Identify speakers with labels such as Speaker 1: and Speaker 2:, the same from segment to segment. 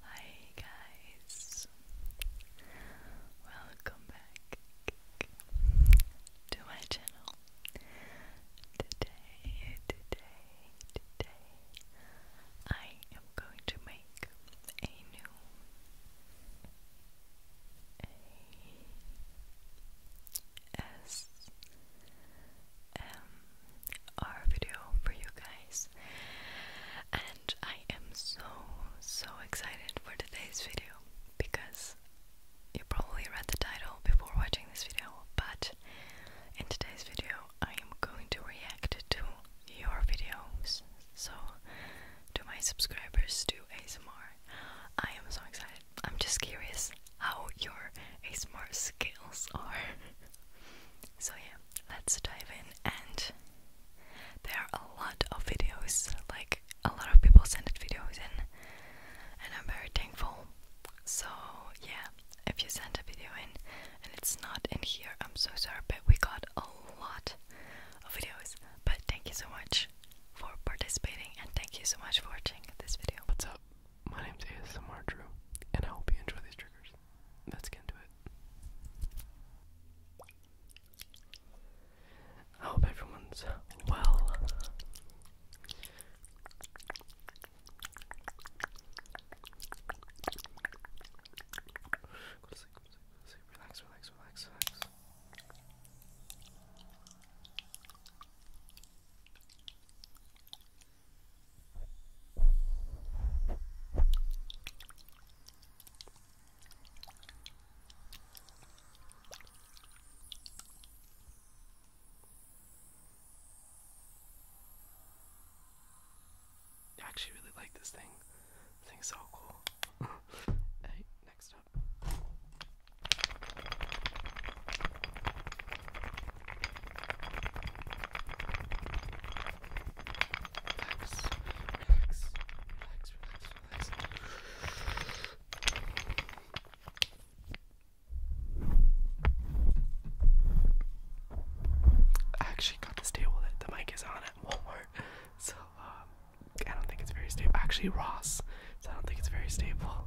Speaker 1: Hi guys, welcome back to my channel. Today, today, today, I am going to make a new a S M our video for you guys. And I am so, so excited for today's video because you probably read the title before watching this video, but in today's video, I am going to react to your videos. So, to my subscribers to ASMR, I am so excited. I'm just curious how your ASMR skills are. so, yeah, let's dive in and there are a lot of videos like a lot of people sent videos in and I'm very thankful so yeah if you send a video in and it's not in here I'm so sorry but we got a lot of videos but thank you so much for participating and thank you so much for watching this video what's up my name is ASMR Drew and I hope you enjoy these triggers let's get into it. I hope everyone's well. Relax, relax, relax, relax. I actually really like this thing. This thing's so cool. hey, next up. I actually got this table the mic is on at Walmart, so um, I don't think it's very stable. Actually, Ross, so I don't think it's very stable.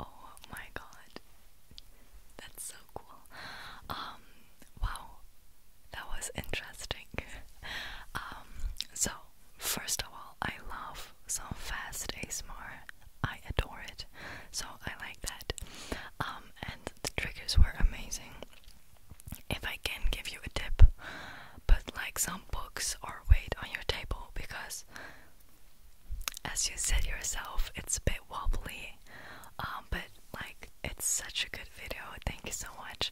Speaker 1: Oh my god. That's so cool. Um, wow. That was interesting. Um, so first of all, I love so fast ASMR. I adore it. So I like that. Um, the triggers were amazing. If I can give you a tip, put like some books or weight on your table because, as you said yourself, it's a bit wobbly. Um, but like, it's such a good video. Thank you so much.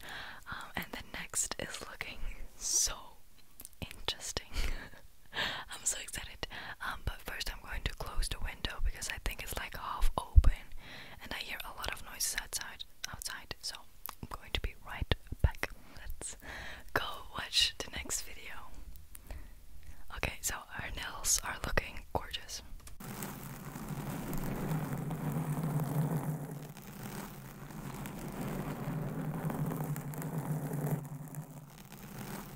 Speaker 1: Um, and the next is looking so interesting. I'm so excited. Um, but first, I'm I'm going to close the window because I think it's like half open and I hear a lot of noises outside outside so I'm going to be right back. Let's go watch the next video. Okay, so our nails are looking gorgeous.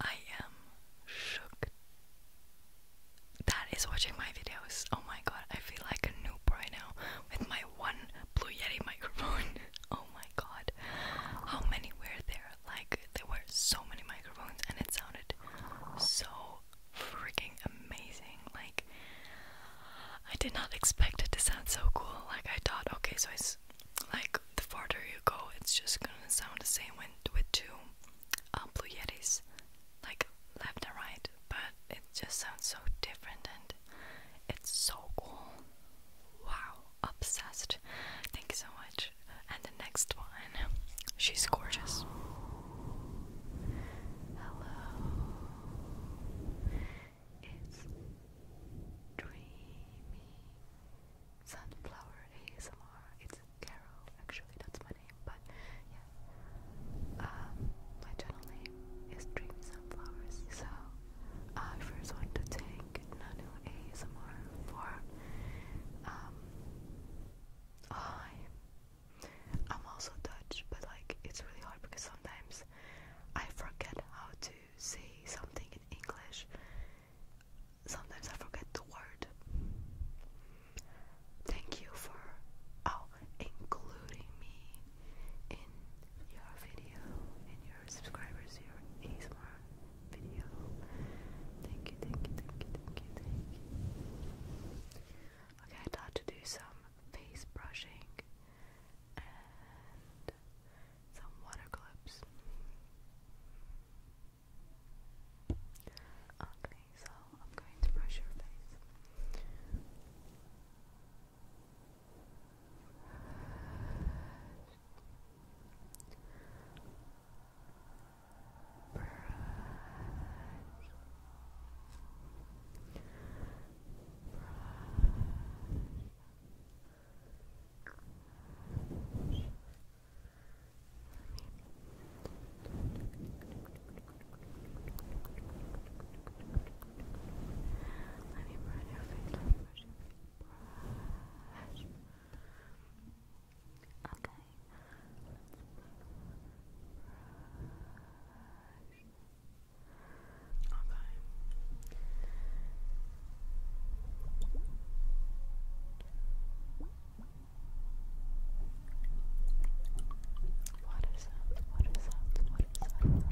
Speaker 1: I am shook that is watching my videos. Oh my god, I feel like a noob right now with my one Blue Yeti microphone. oh my god, how many were there? Like, there were so many microphones, and it sounded so freaking amazing. Like, I did not expect it to sound so cool. Like, I thought, okay, so I like the farther you go, it's just gonna sound the same when with two uh, blue yetis, like left and right. But it just sounds so different, and it's so cool. Wow, obsessed. Thank you so much. And the next one, she's gorgeous. Hello. It's Dreamy Sunflower ASMR. It's Carol, actually, that's my name, but yeah. Um, my channel name is Dreamy Sunflowers, so I first want to thank Nanu ASMR for um I I'm also Dutch, but like it's really hard because sometimes I forget how to say something in English, sometimes I forget the word. Thank you for oh, including me in your video, in your subscribers, your ASMR video. Thank you, thank you, thank you, thank you, thank you. Okay, I thought to do some face brushing some water clips. Okay, so I'm going to brush your face. Brush. Brush. Let me burn your face. Let me brush your face. Brush. Okay. Brush. Okay. Water sounds, water sounds, water sounds, water sounds.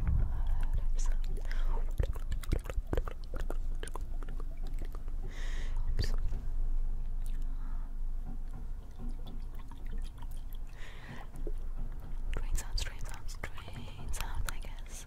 Speaker 1: Train sounds, train sounds, I guess.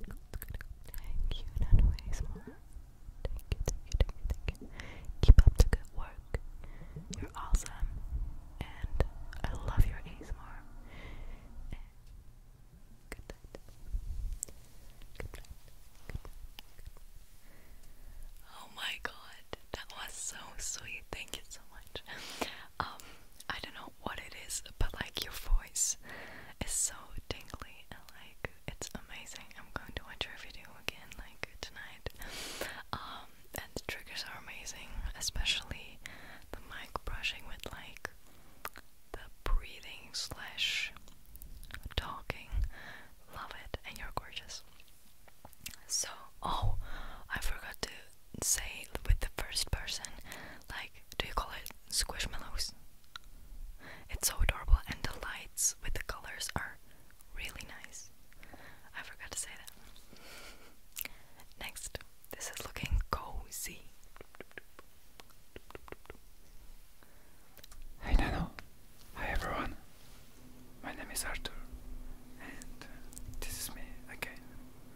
Speaker 1: Thank you, Nano ASMR. Thank thank you, thank you, thank you. Keep up the good work. You're awesome. And I love your ASMR. Oh my god, that was so sweet. Thank you so much. Um, I don't know what it is, but like your voice is so tingly and like it's amazing. I'm going to watch your video again like tonight. Um, and the triggers are amazing, especially the mic brushing with like the breathing slash talking. Love it, and you're gorgeous. So, oh, I forgot to say with the first person, like, do you call it squishmallows? It's so adorable, and the lights with the colors are really nice. I forgot to say that. Next, this is looking cozy. Hey Nano! Hi everyone! My name is Arthur, and uh, this is me again.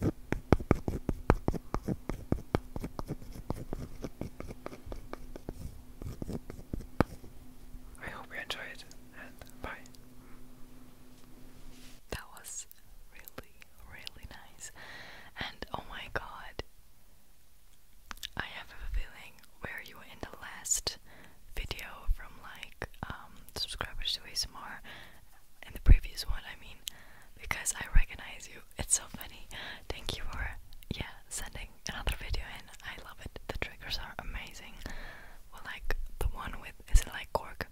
Speaker 1: I hope you enjoyed and bye. That was really, really nice. And oh my god, I have a feeling where you in the last video from like um, subscribers to ASMR in the previous one, I mean, because I recognize you. It's so funny. Thank you for, yeah, sending another video in. I love it. The triggers are amazing. Well, like the one with, is it like cork?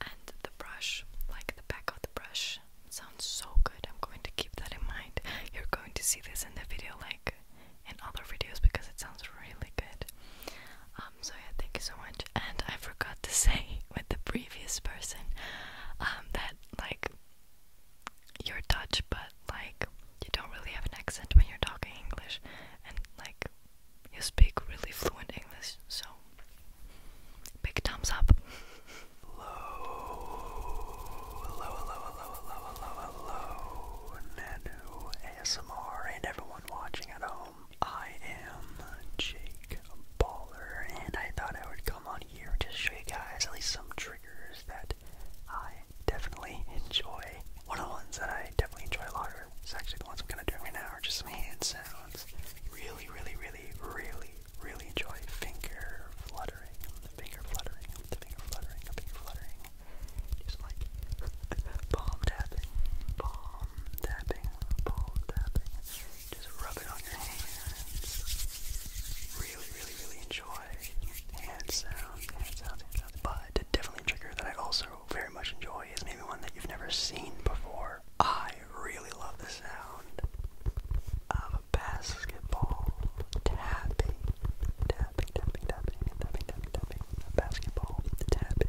Speaker 1: And the brush, like the back of the brush, sounds so good. I'm going to keep that in mind. You're going to see this in the video, like in other videos, because it sounds really good. Um, so yeah, thank you so much. And I forgot to say with the pre previous person that like you're Dutch, but like you don't really have an accent when you're talking English, and like you speak really fluent English. So big thumbs up. I am Jake Baller, and I thought I would come on here to show you guys at least some triggers that I definitely enjoy. One of the ones that I definitely enjoy a lot are, is actually the ones I'm gonna do right now, are just some hand sounds. Really, really, really, really, really enjoy finger fluttering, finger fluttering, finger fluttering, finger fluttering. Just like palm tapping, palm tapping, palm tapping. Just rub it on your hands. Really, really, really enjoy hand sounds, But definitely trigger that I also very much enjoy is maybe one that you've never seen before. I really love the sound of a basketball tapping, tapping, tapping, tapping, tapping, tapping, tapping, basketball tapping.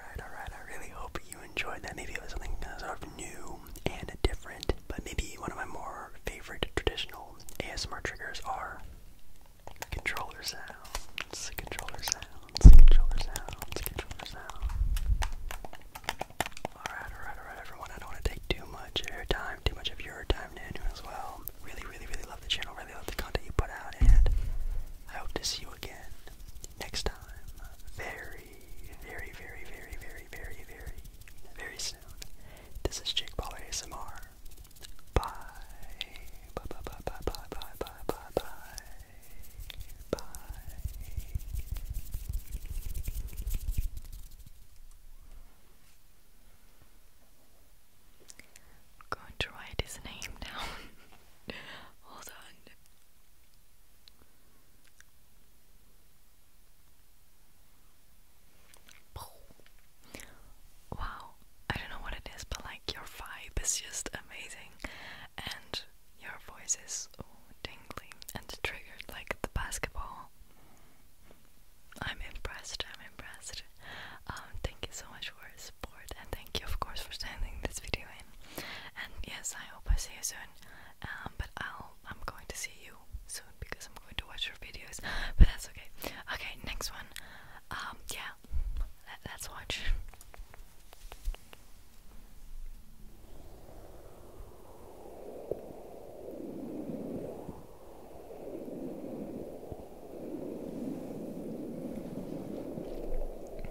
Speaker 1: Alright, alright, I really hope you enjoyed that. Maybe it was something uh, sort of new and different, but maybe one of my more favorite traditional ASMR triggers are controller sounds, controller sounds, controller sounds, controller sounds. Alright, alright, alright, everyone, I don't want to take too much of your time, too much of your time, Nanu, as well. Really, really, really love the channel really love the content you put out, and I hope to see you again next time. Very, very, very, very, very, very, very, very soon. This is Jake Baller ASMR. Bye. Bye, bye, bye, bye, bye, bye, bye, bye, bye. Bye. I'm going to write his name down. Hold on. Wow, I don't know what it is, but like your vibe is just amazing, and your voice is ooh, tingly and triggered like the basketball. I'm impressed. I'm impressed. Um, thank you so much your support and thank you of course for sending this video in. And yes, I hope I see you soon. Um, but I'll I'm going to see you soon because I'm going to watch your videos. But that's okay. Okay, next one. Um, yeah, let's watch.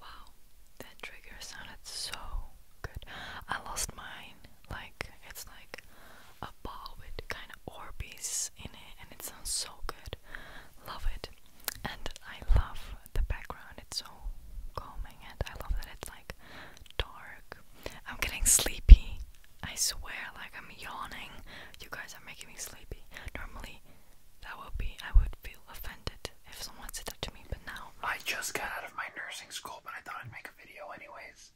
Speaker 1: Wow, that trigger sounded so good. I lost mine like it's like a ball with kind of Orbeez in it, and it sounds so good. Love it, and I love the background. It's so calming, and I love that it's like dark. I'm getting sleepy. I swear, like I'm yawning. You guys are making me sleepy. Normally, that would be I would feel offended if someone said that to me, but now I just got out of my nursing school, but I thought I'd make a video anyways.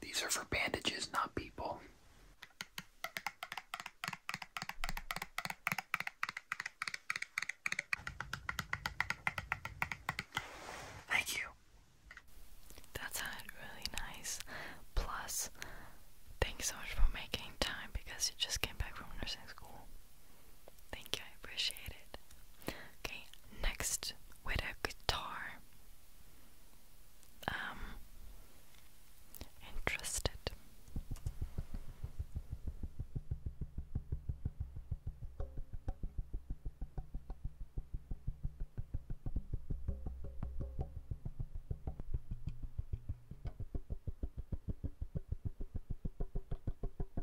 Speaker 1: These are for bandages, not people. Thank you. That's really nice. Plus, thanks so much for making time because you just came back from nursing school. Thank you, I appreciate it. Okay, next with a guitar. Um interested.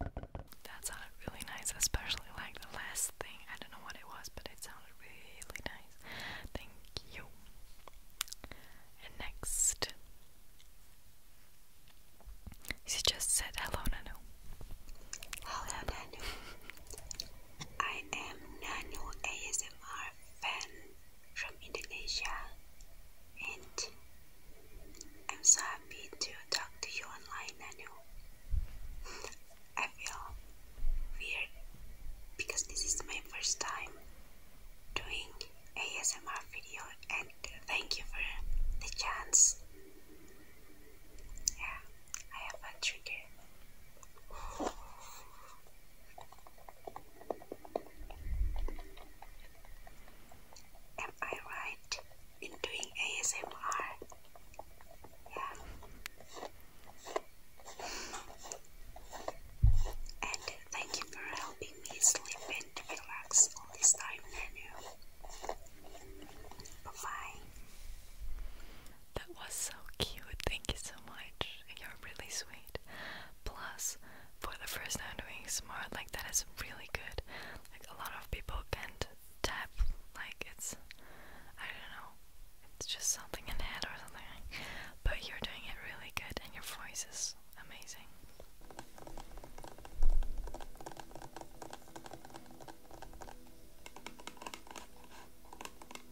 Speaker 1: That sounded really nice, especially like the last thing. I don't know what it was, but it sounded really nice. Thank you. And next, she just said hello, Nanu. Hello, Nanu. I am Nano ASMR fan from Indonesia and I'm so happy to talk to you online Nano. I feel weird because this is my first time doing ASMR video and thank you for the chance. Yeah, I have a trigger. Am I right in doing ASMR? Yeah. And thank you for helping me sleep and relax all this time, Nanu. Bye bye. That was so cute. Thank you so much. You're really sweet. Plus, for the first time doing smart, like that is really good. Like a lot of people can't tap. Like it's, I don't know, it's just something in the head or something. But you're doing it really good, and your voice is amazing.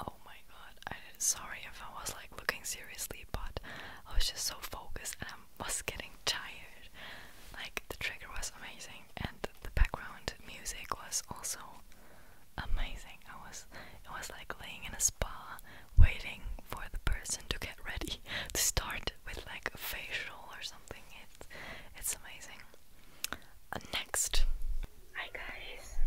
Speaker 1: Oh my god, I sorry if I was like looking seriously, but I was just so focused and I was getting tired. Like the trigger was amazing and the background music was also amazing. I was it was like laying in a spa waiting for the person to get ready to start with like a facial or something. It's it's amazing. Uh, next. Hi guys.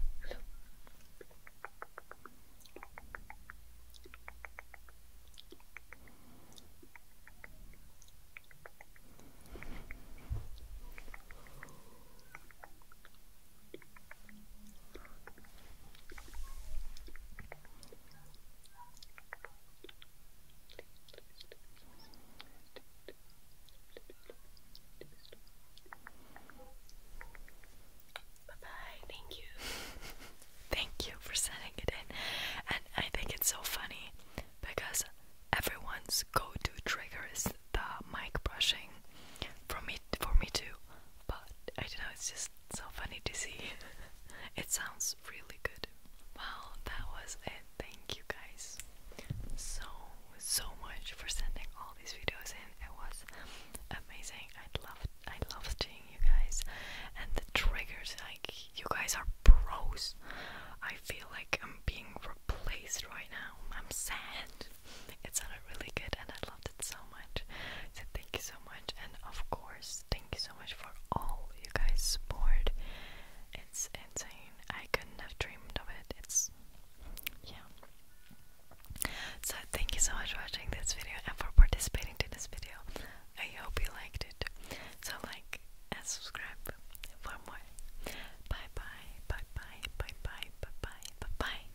Speaker 1: Bye bye, thank you. thank you for sending it in. And I think it's so funny because everyone's go to trigger is the mic brushing. For me for me too. But I don't know, it's just so funny to see. it sounds really good. Wow, that was it. Thank you guys so, so much for sending all these videos in. It was amazing. I loved, I love seeing you guys and the triggers. Like you guys are pros. I feel like I'm being replaced right now. I'm sad. It sounded really good, and I love so much. So thank you so much, and of course, thank you so much for all you guys support. It's insane. I couldn't have dreamed of it. It's yeah. So thank you so much for watching this video and for participating to this video. I hope you liked it. So like and subscribe for more. bye, bye bye, bye bye, bye bye, bye bye.